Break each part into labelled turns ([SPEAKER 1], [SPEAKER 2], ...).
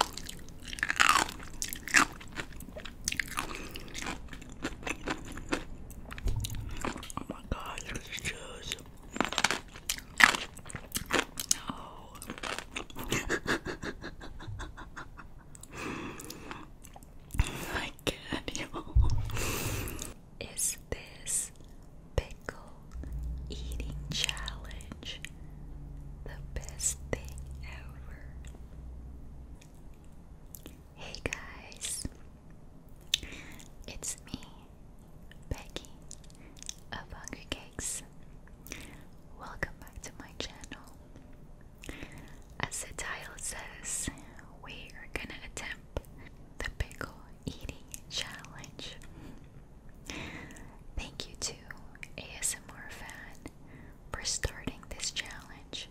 [SPEAKER 1] Oh my god, look at these Is this pickle eating challenge the best thing ever. Hey guys, it's me, Becky of Hungry Cakes. Welcome back to my channel. As the title says, we are gonna attempt the pickle eating challenge. Thank you to ASMR Fan for starting this challenge.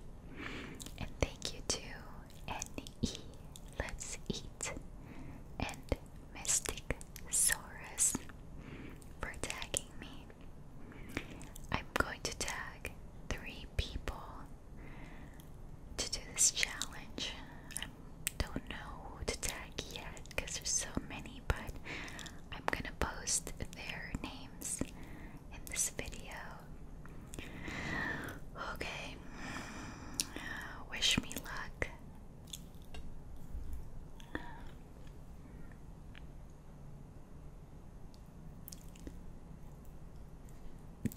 [SPEAKER 1] And thank you to NE Let's Eat and Mystic Saurus for tagging me. I'm going to tag three people to do this challenge. I don't know who to tag yet because there's so many, but I'm gonna post their names in this video. Okay, wish me luck.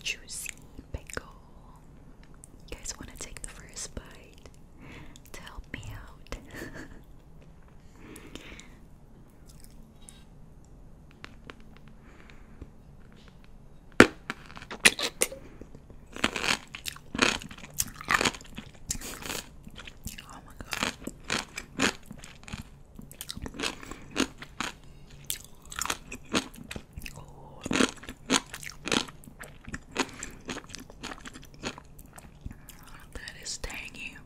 [SPEAKER 1] Juicy pickle.
[SPEAKER 2] You guys want to take the first bite? help me out. oh my god. That is tangy.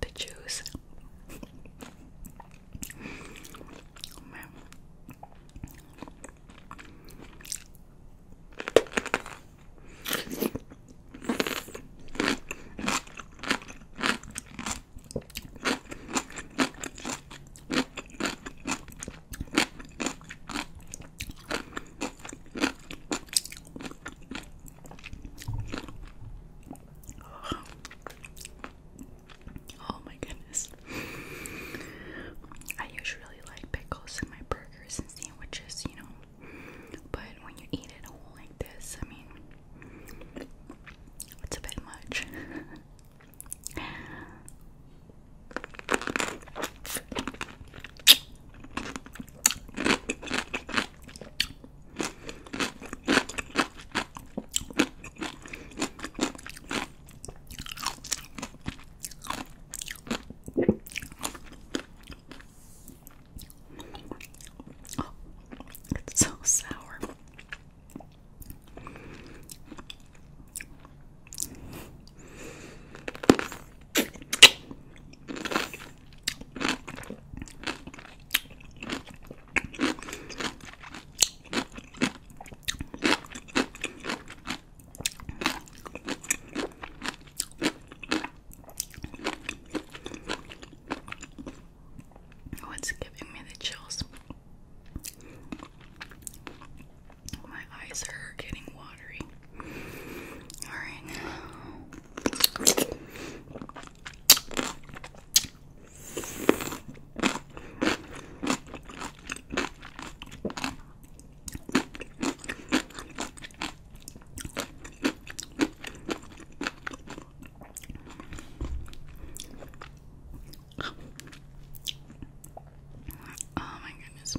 [SPEAKER 2] The juice. Oh my goodness. I usually like pickles in my burgers and sandwiches, you know. But when you eat it whole like this, I mean, it's a bit much. Oh, it's so sour. Oh, it's giving me the chills. My eyes are getting watery. Alright. Oh my goodness.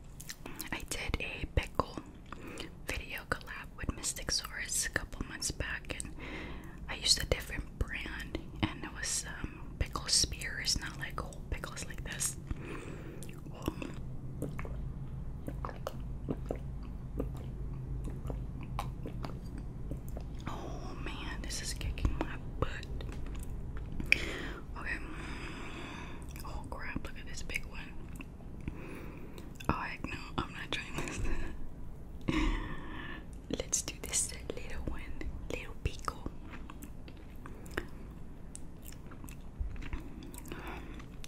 [SPEAKER 2] I did a pickle video collab with Mystic Saurus a couple months back, and I used a different brand, and it was um, pickle spears, not like whole pickles like this. Oh man, this is kicking my butt. Okay. Oh crap, look at this big one. Oh heck no, I'm not trying this. Let's do this little one, little pico.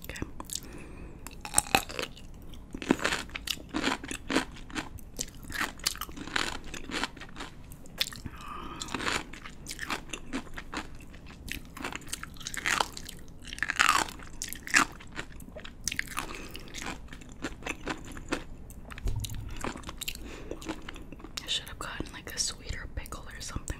[SPEAKER 2] Okay. I should have gotten like a sweeter pickle or something.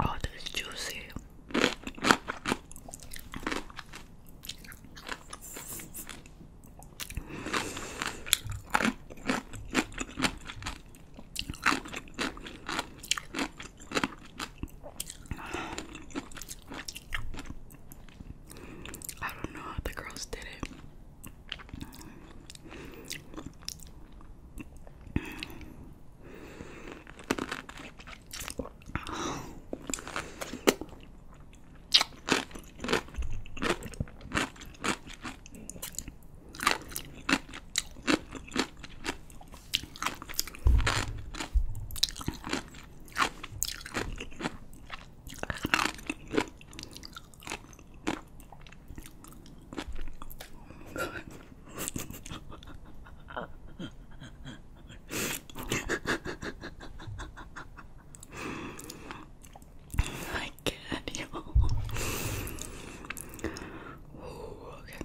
[SPEAKER 2] Oh, this is juicy. I don't know how the girls did it. I get you. Ooh, okay.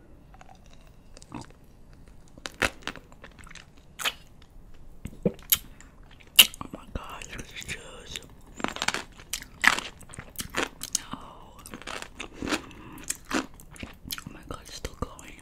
[SPEAKER 2] Oh my gosh, these chews. Oh. oh my god, it's still going.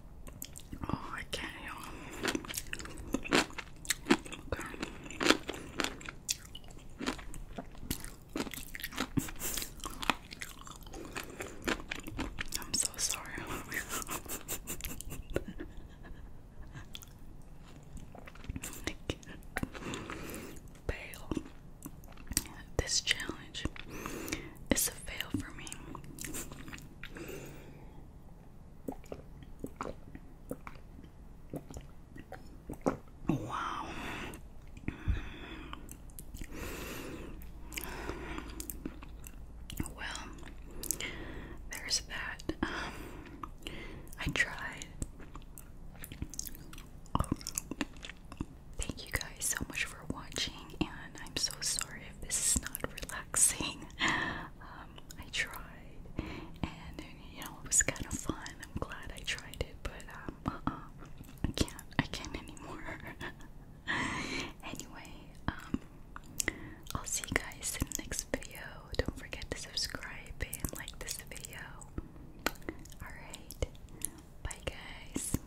[SPEAKER 2] Oh, I can't, y'all. Okay. I'm so sorry. Bail. This challenge it's a fail for me. Wow. Well, there's that. I tried. Thank you guys so much for watching, and I'm so sorry if this is not relaxing. Um, I tried, and you know it was kind of fun. I'm glad I tried it, but um, uh-uh. I can't, I can't anymore. anyway, um, I'll see you guys in the next video. Don't forget to subscribe and like this video. All right, bye guys.